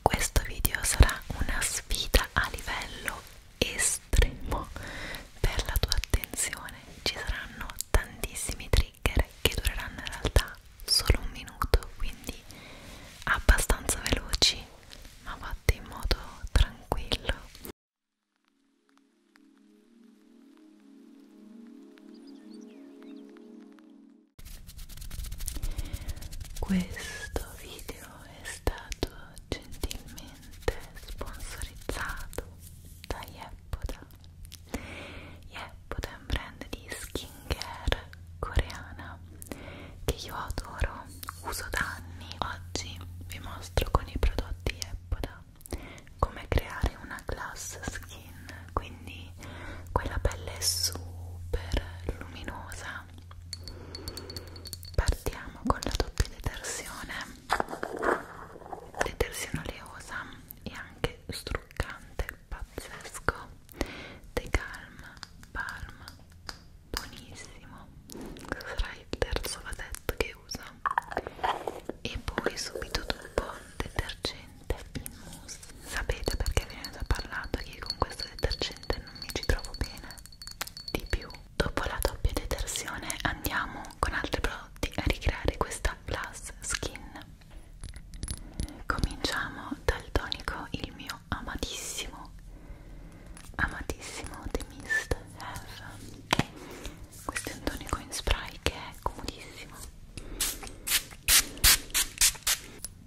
Questo video sarà una sfida a livello estremo per la tua attenzione. Ci saranno tantissimi trigger che dureranno in realtà solo un minuto, quindi abbastanza veloci, ma fatti in modo tranquillo. Questo video è stato gentilmente sponsorizzato da Yeppoda. Yeppoda è un brand di skincare coreana che io adoro, uso da anni. Oggi vi mostro con i prodotti Yeppoda come creare una glass skin, quindi quella pelle super luminosa partiamo con la doppia detersione detersione oleosa e anche struccante pazzesco The Calm Palm buonissimo sarà il terzo vasetto che uso e poi subito dopo detergente in mousse Sapete perché ve ne ho parlato che con questo detergente non mi ci trovo bene di più. Dopo la doppia detersione andiamo con altri prodotti a ricreare questa plus skin. Cominciamo dal tonico, il mio amatissimo, amatissimo The Mist F. Questo è un tonico in spray che è comodissimo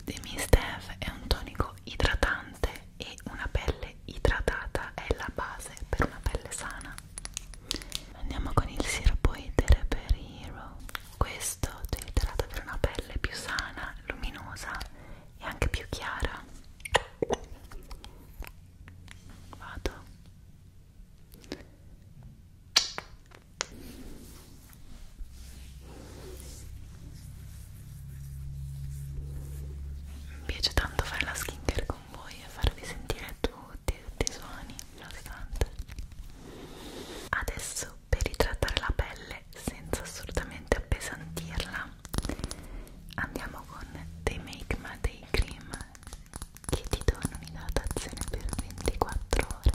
The Mist Eve è un tonico idratante e una pelle idratata è la base per una pelle sana. Andiamo con il sirop Etere per Hero. Questo ti idrata per una pelle più sana, luminosa e anche più chiara. Vado. Mi piace tanto fare la skincare con voi e farvi sentire tutti, tutti i suoni nonostante. Adesso per idratare la pelle senza assolutamente appesantirla andiamo con dei Make Ma Day Cream che ti danno un'idratazione per 24 ore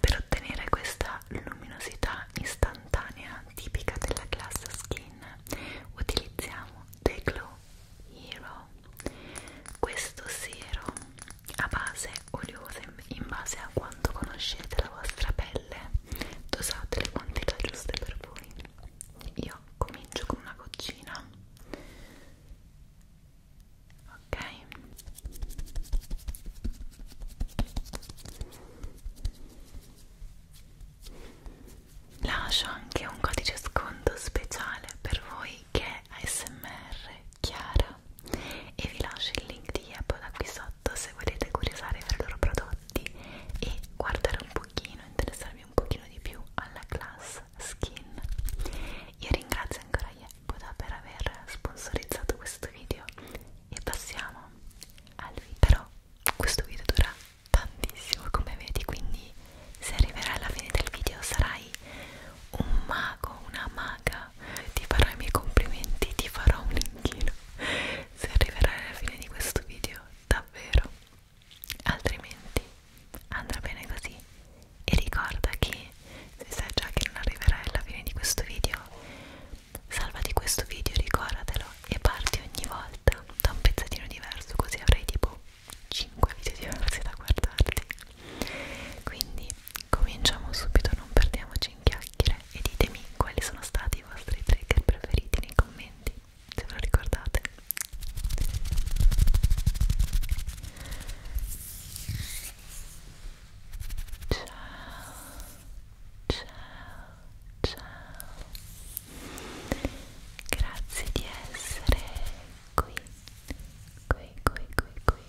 per ottenere questa luminosità istantanea tipica della classe skin utilizziamo The Glow Hero. Questo serum a base oleosa in base a quanto conoscete la vostra pelle caramelle dosate le quantità giuste per voi io comincio con una goccina ok lascio anche un codice sconto speciale per voi che è ASMR Chiara e vi lascio il link di Apple da qui sotto se volete curiosare per i loro prodotti fatti e guardare un pochino, interessarmi un pochino di più alla class skin. Io ringrazio ancora Yeppoda per aver sponsorizzato questo video e passiamo al video. Però questo video dura tantissimo come vedi, quindi se arriverai alla fine del video sarai un mago, una maga, ti farò i miei complimenti, ti farò un inchino se arriverai alla fine di questo video davvero altrimenti andrà bene così e ricorda che se sai già che non arriverai alla fine di questo video salvati questo video ricordatelo e parti ogni volta da un pezzettino diverso così avrai tipo 5 video diversi da guardarti quindi cominciamo subito non perdiamoci in chiacchiere e ditemi quali sono stati i vostri trigger preferiti nei commenti, se ve lo ricordate. Ciao, ciao, ciao. Grazie di essere qui, qui, qui, qui, qui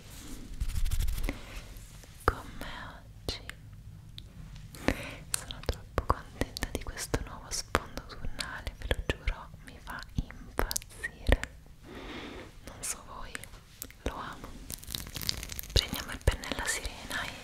con me oggi sono troppo contenta di questo nuovo sfondo turnale ve lo giuro mi fa impazzire non so voi lo amo prendiamo il pennello sirena e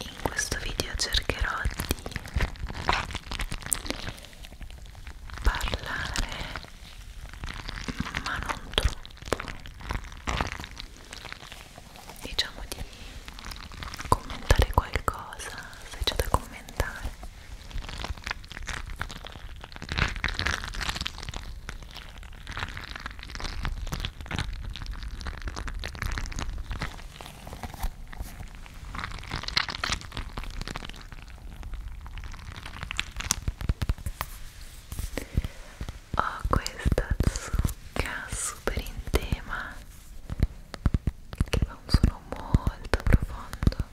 In questo video cercherò di parlare, ma non troppo, diciamo di commentare qualcosa se c'è da commentare. Ho questa zucca super in tema che fa un suono molto profondo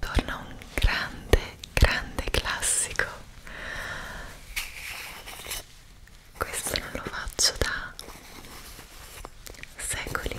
Torna un grande, grande classico. Questo non lo faccio da secoli.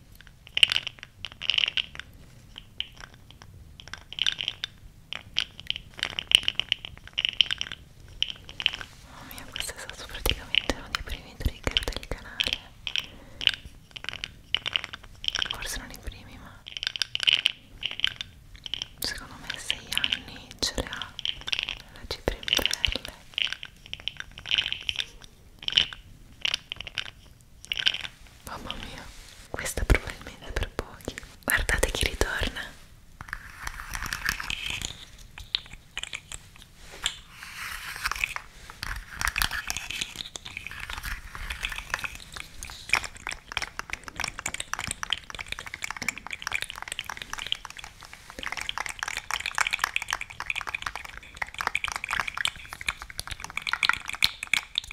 Mamma oh mia, questo è stato praticamente uno dei primi trigger del canale. Forse non i primi, ma secondo me a 6 anni ce le ha la cipria in perle. Mamma mia, questa probabilmente per pochi. Guardate chi ritorna.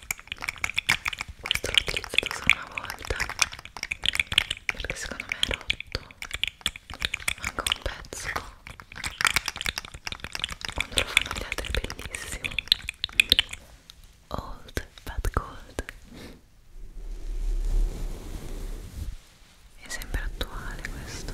questo l'ho utilizzato solo una volta perché secondo me è rotto manca un pezzo quando lo fanno gli altri è bellissimo old but gold è sempre attuale questo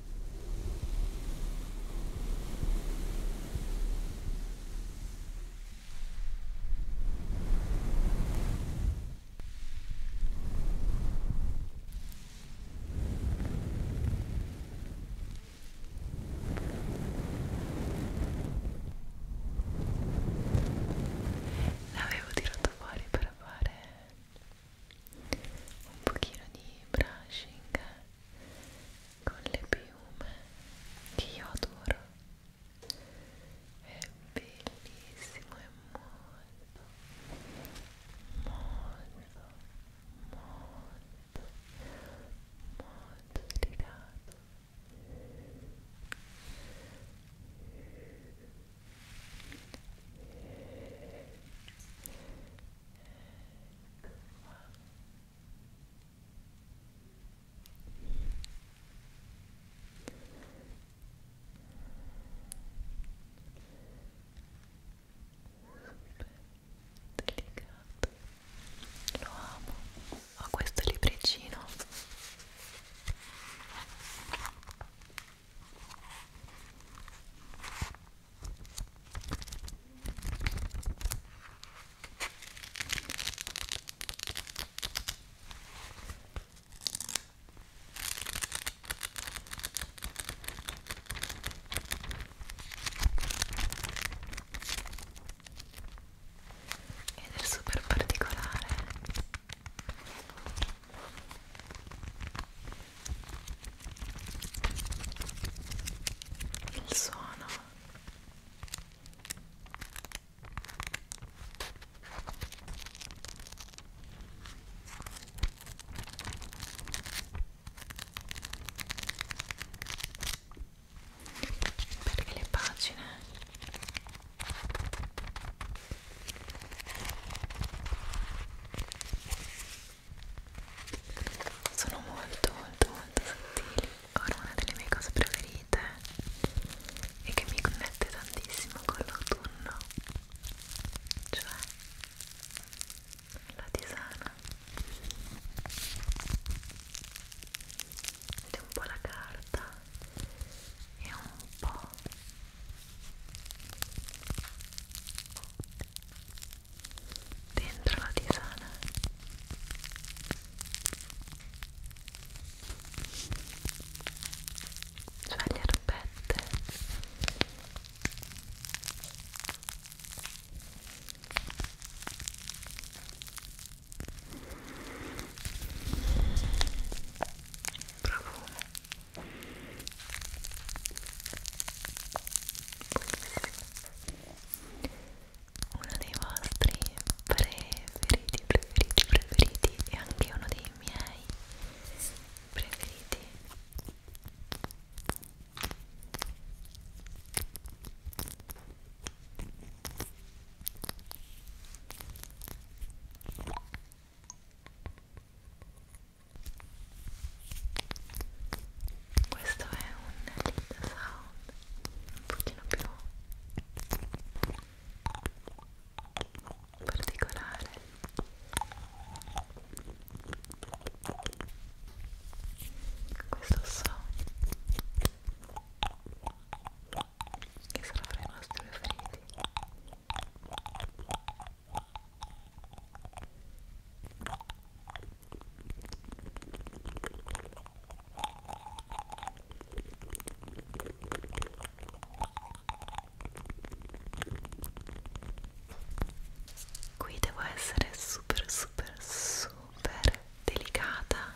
L'avevo tirato fuori per fare un pochino di brushing con le piume che io adoro è bellissimo è molto molto molto molto delicato delicato lo amo ho questo libricino ed è super particolare il suono perché le pagine sono molto molto molto sottili ora una delle mie cose preferite e che mi connette tantissimo con l'autunno cioè la tisana ed è un po' la carta e un po' dentro la tisana cioè le erbette profumo uno dei vostri preferiti, preferiti, preferiti e anche uno dei miei preferiti questo è un lead sound un pochino più particolare questo so che sarà fra i nostri preferiti Qui devo essere super super super delicata.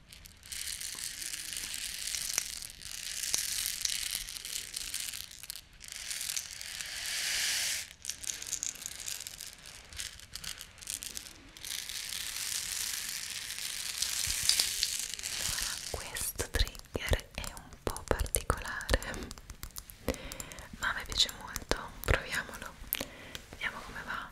Allora, questo trigger è un po' particolare, ma mi piace molto. Proviamolo, vediamo come va.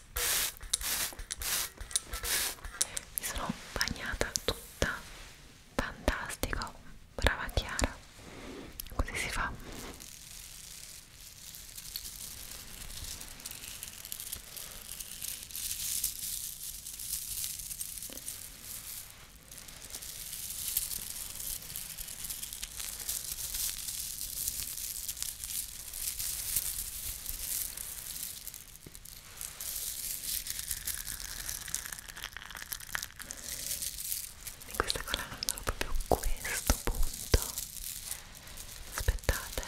mi sono bagnata tutta fantastico brava Chiara così si fa in questa colla non trovo proprio questo punto aspettate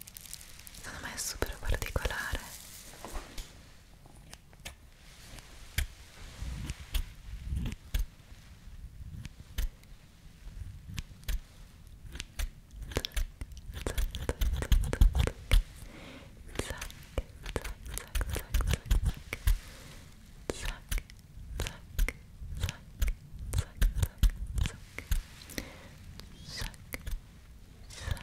secondo me è super particolare Zac, zac,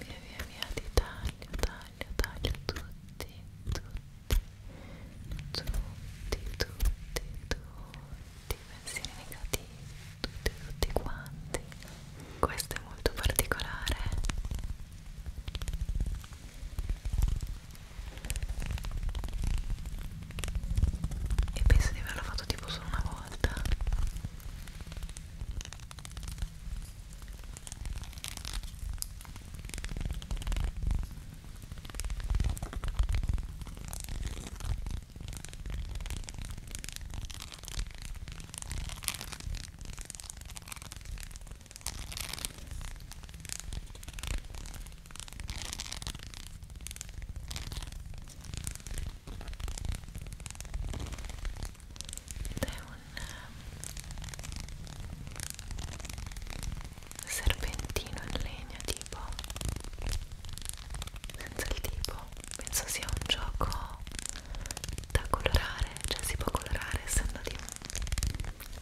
Via via via ti taglio, taglio, taglio tutti, tutti, tutti, tutti, tutti i pensieri negativi, tutti, tutti quanti. Questo è molto particolare e penso di averlo fatto tipo solo una volta ed è un um, serpentino in legno tipo senza il tipo penso sia un gioco da colorare cioè si può colorare essendo di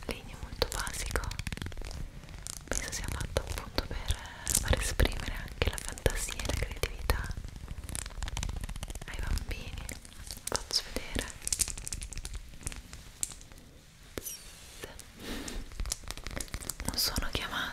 legno molto basico penso sia fatto appunto per far esprimere anche la fantasia e la creatività ai bambini faccio vedere non sono chiamate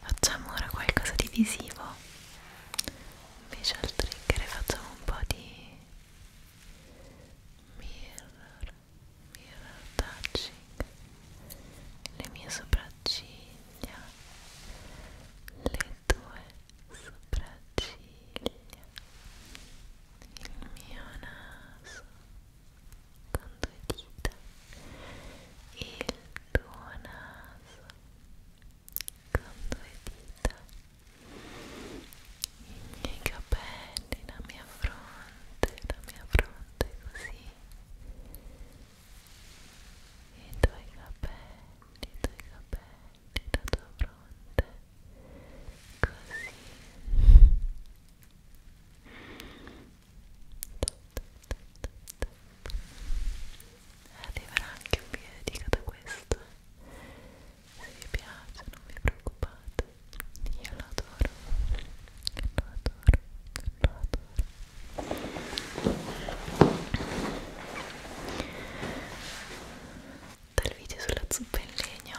facciamo ora qualcosa di visivo invece al trigger facciamo un po' di mirror mirror touching le mie sopracciglia le tue sopracciglia il mio naso con due dita il tuo naso con due dita i miei capelli, la mia fronte, la mia fronte così i tuoi capelli, i tuoi capelli, la tua fronte così arriverà anche un video da questo se vi piace non vi preoccupate io lo adoro lo adoro lo adoro dal video sulla zuppa in legno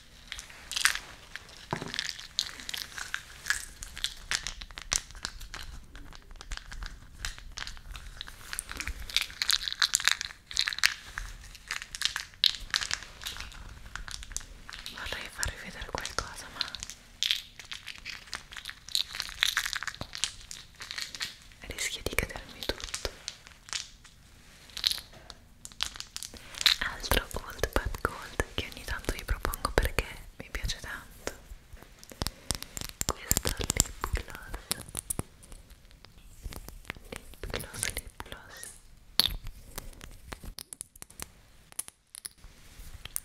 Vorrei farvi vedere qualcosa, ma rischia di cadermi tutto altro Old But Gold che ogni tanto vi propongo perché mi piace tanto questo lip gloss lip gloss lip gloss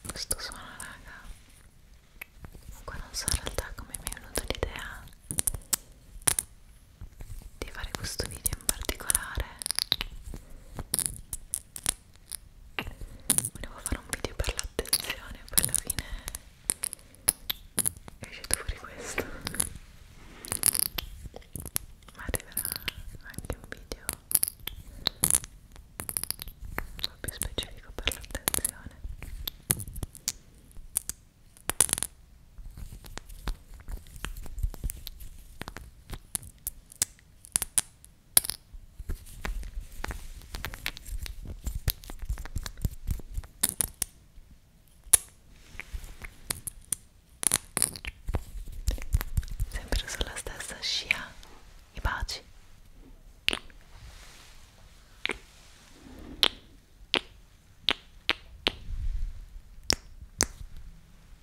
questo suono raga comunque non so in realtà come mi è venuta l'idea di fare questo video in particolare volevo fare un video per l'attenzione e poi alla fine è uscito fuori questo ma arriverà anche un video un po' più specifico per l'attenzione sempre sulla stessa scia i baci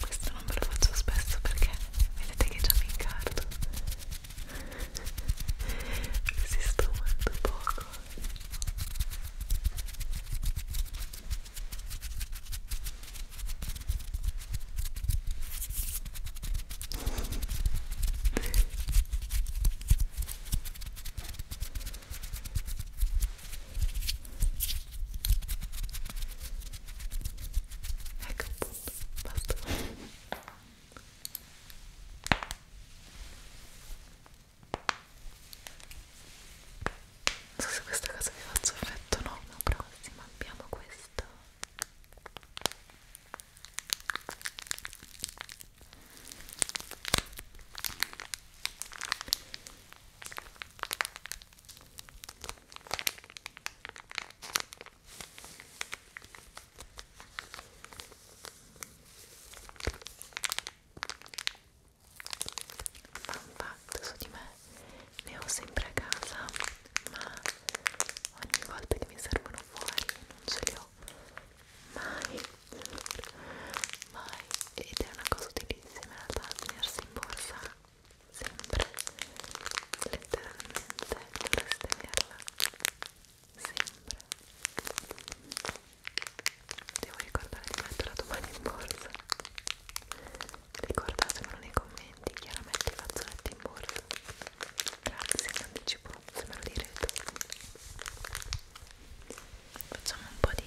questo non ve lo faccio spesso perché vedete che già mi incarto resisto molto poco ecco appunto basta non so se questa cosa vi faccio effetto o no ma prossima abbiamo questo un fatto su di me ne ho sempre a casa ma ogni volta che mi servono fuori non ce li ho mai mai ed è una cosa utilissima in realtà tenersi in borsa sempre letteralmente dovreste averla sempre devo ricordare di metterla domani in borsa ricordatemelo nei commenti chiaramente i fazzoletti in borsa grazie in anticipo se me lo direte facciamo un po' di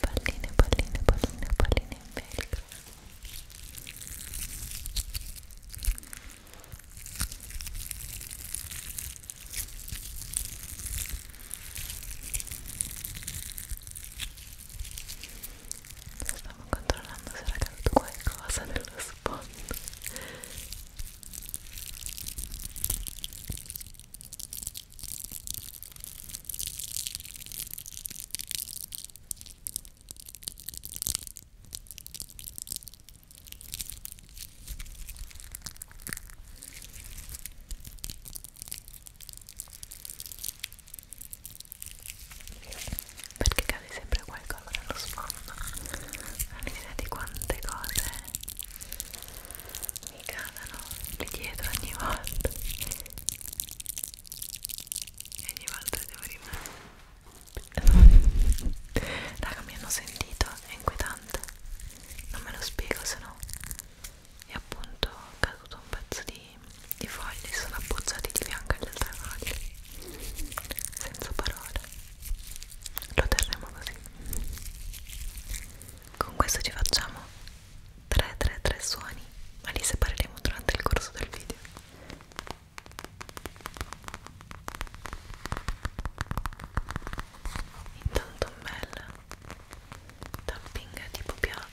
palline, palline, palline, palline in velcro stavo controllando se era caduto qualcosa nello spot perché cade sempre qualcosa nello sfondo non vi di quante cose mi cadono lì dietro ogni volta e ogni volta devo rimanere raga mi hanno sentito è inquietante non me lo spiego se no è appunto caduto un pezzo di, di foglie sono abbozzati di bianco alle altre foglie senza parole lo terremo così con questo ci facciamo 3 3 3 suoni ma li separeremo durante il corso del video intanto un bel tapping tipo pioggia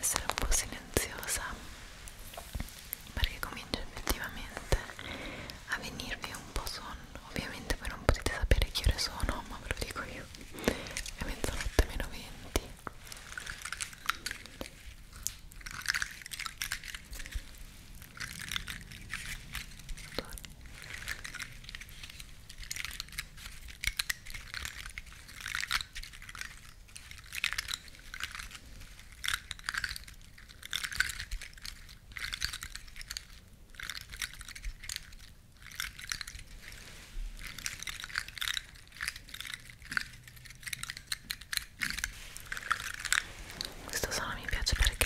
essere un po' silenziosa perché comincia effettivamente a venirvi un po' sonno ovviamente voi non potete sapere che ore sono ma ve lo dico io è mezzanotte meno 20 Allora. Questo suono mi piace perché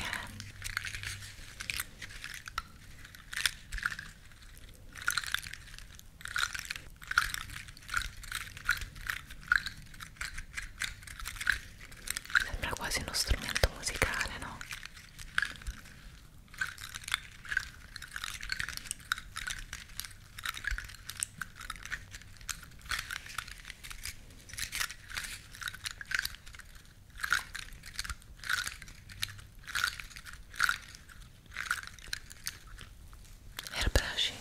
Sembra quasi uno strumento musicale, no? Airbrushing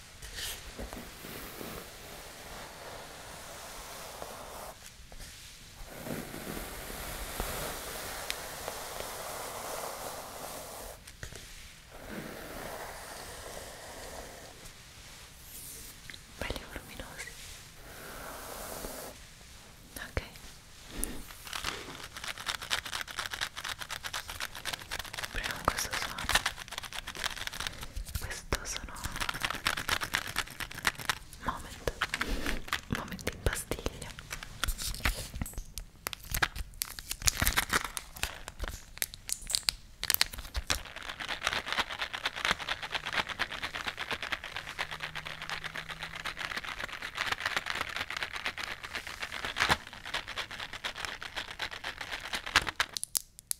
belli voluminosi ok proviamo questo suono questo sono moment momenti in pastiglia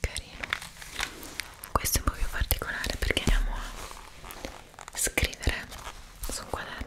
Carino. Questo è un po' più particolare perché andiamo a scrivere su un quaderno.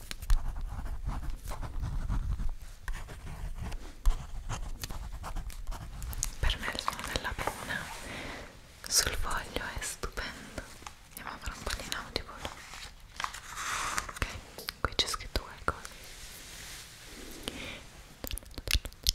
Per me il suono della penna sul foglio è stupendo. Andiamo a fare un po' di nautico. Ok, qui c'è scritto qualcosa. Tutto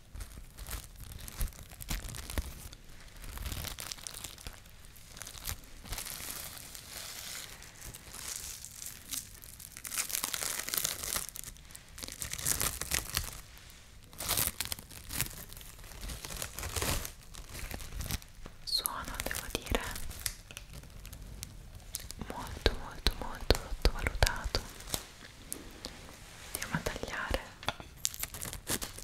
Suono, devo dire, molto molto molto sottovalutato andiamo a tagliare sul microfono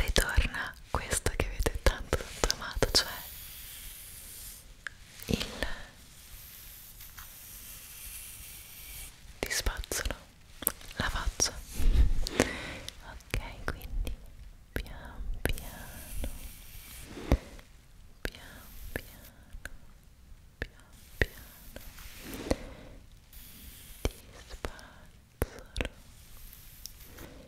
Ritorna questo che avete tanto tanto amato, cioè il ti spazzolo la faccia ok quindi pian piano pian piano pian piano ti spazzolo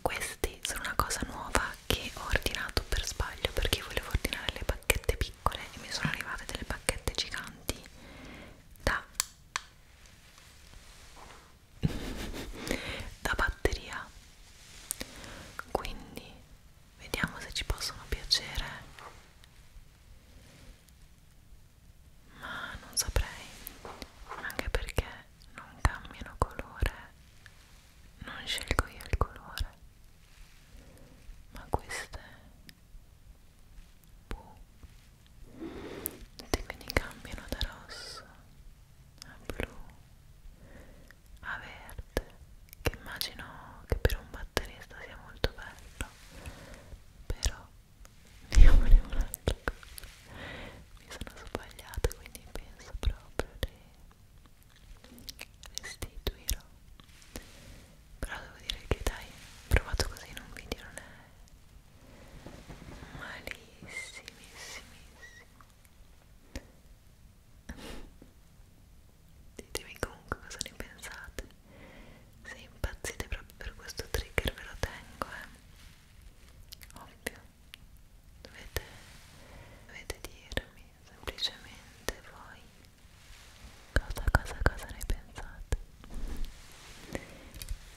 Questi sono una cosa nuova che ho ordinato per sbaglio perché volevo ordinare le bacchette piccole e mi sono arrivate delle bacchette giganti da da batteria quindi vediamo se ci possono piacere ma non saprei anche perché non cambiano colore non scelgo io il colore ma queste boh e quindi cambiano da rosso a blu a verde che immagino che per un batterista sia molto bello però io volevo un'altra cosa mi sono sbagliata quindi penso proprio di restituirlo però devo dire che dai provato così in un video non è ditemi comunque cosa ne pensate se impazzite proprio per questo trigger ve lo tengo eh ovvio dovete, dovete dirmi semplicemente voi cosa cosa cosa ne pensate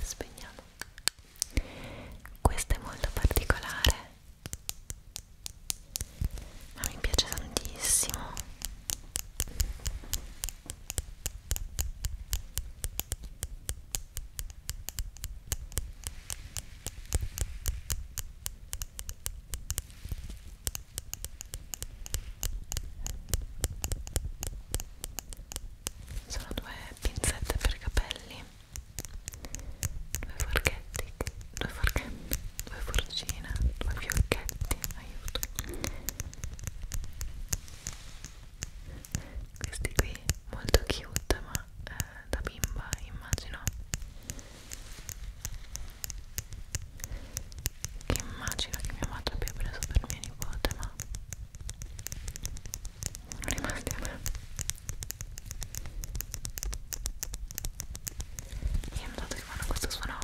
spegniamo questo è molto particolare, ma mi piace tantissimo sono due pinzette per capelli due forchetti due forchetti due forcine due fiocchetti aiuto questi qui molto cute ma eh, da bimba immagino che immagino che mia madre abbia preso per mia nipote ma rimasti a me e ho notato che fanno questo suono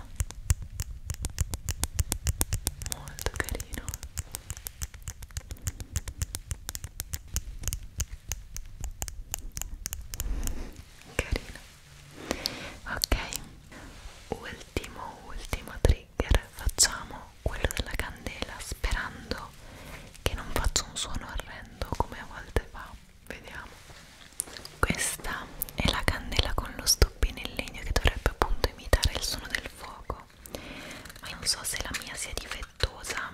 molto carino carino ok ultimo ultimo trigger trigger facciamo quello della candela sperando che non faccia un suono orrendo come a volte fa vediamo questa è la candela con lo stoppino in legno che dovrebbe appunto imitare il suono del fuoco ma non so se la mia sia difettosa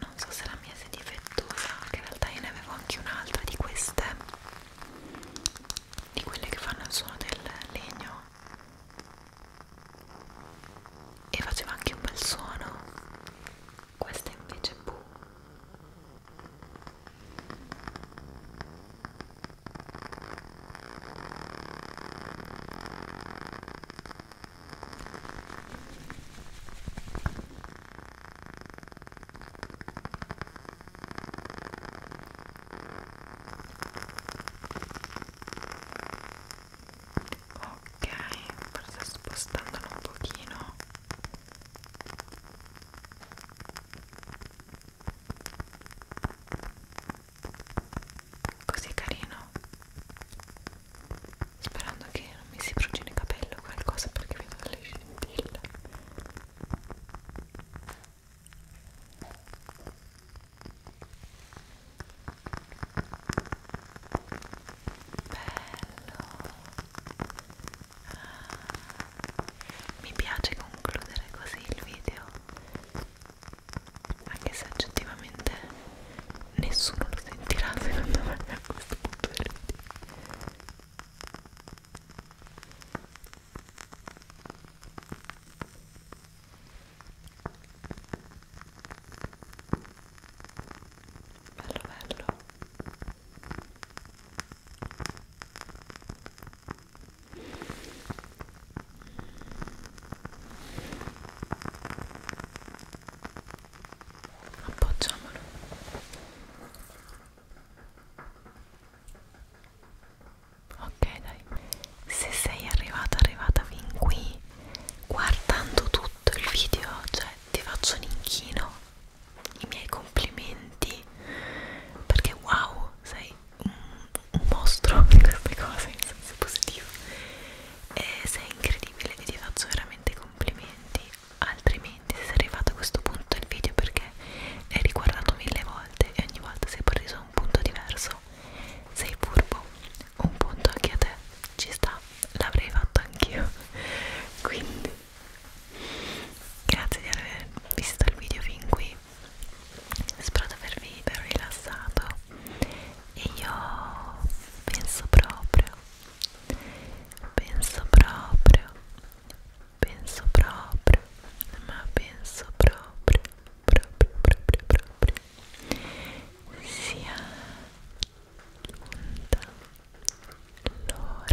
non so se la mia sia difettosa che in realtà io ne avevo anche un'altra di queste di quelle che fanno il suono del legno e faceva anche un bel suono questa invece buh Ok, forse spostandolo un pochino così carino sperando che non mi si brucino il capello o qualcosa perché vedo delle scintille bello ah mi piace concludere così il video anche se oggettivamente nessuno lo sentirà secondo me a questo punto del video bello bello appoggiamolo ok dai se sei arrivata arrivata fin qui guardando tutto il video cioè ti faccio un inchino i miei complimenti perché wow sei un mostro in queste cose in senso positivo e sei incredibile e ti faccio veramente complimenti altrimenti se sei arrivato a questo punto del video perché l'hai riguardato mille volte e ogni volta sei preso un punto diverso sei furbo un punto anche a te ci sta l'avrei fatto anch'io quindi grazie di aver visto il video fin qui spero di avervi ben rilassato e io penso proprio penso proprio penso proprio ma penso proprio proprio proprio proprio sia giunta l'ora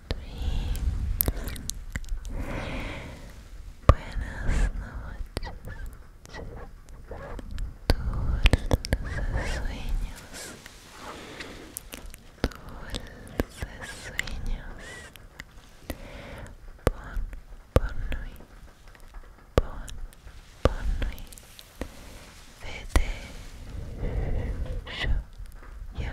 Buenas noches. Dulces sueños. Dulces sueños. Bon, bon nuit. Bon, bon nuit. Vete. Yo, yo,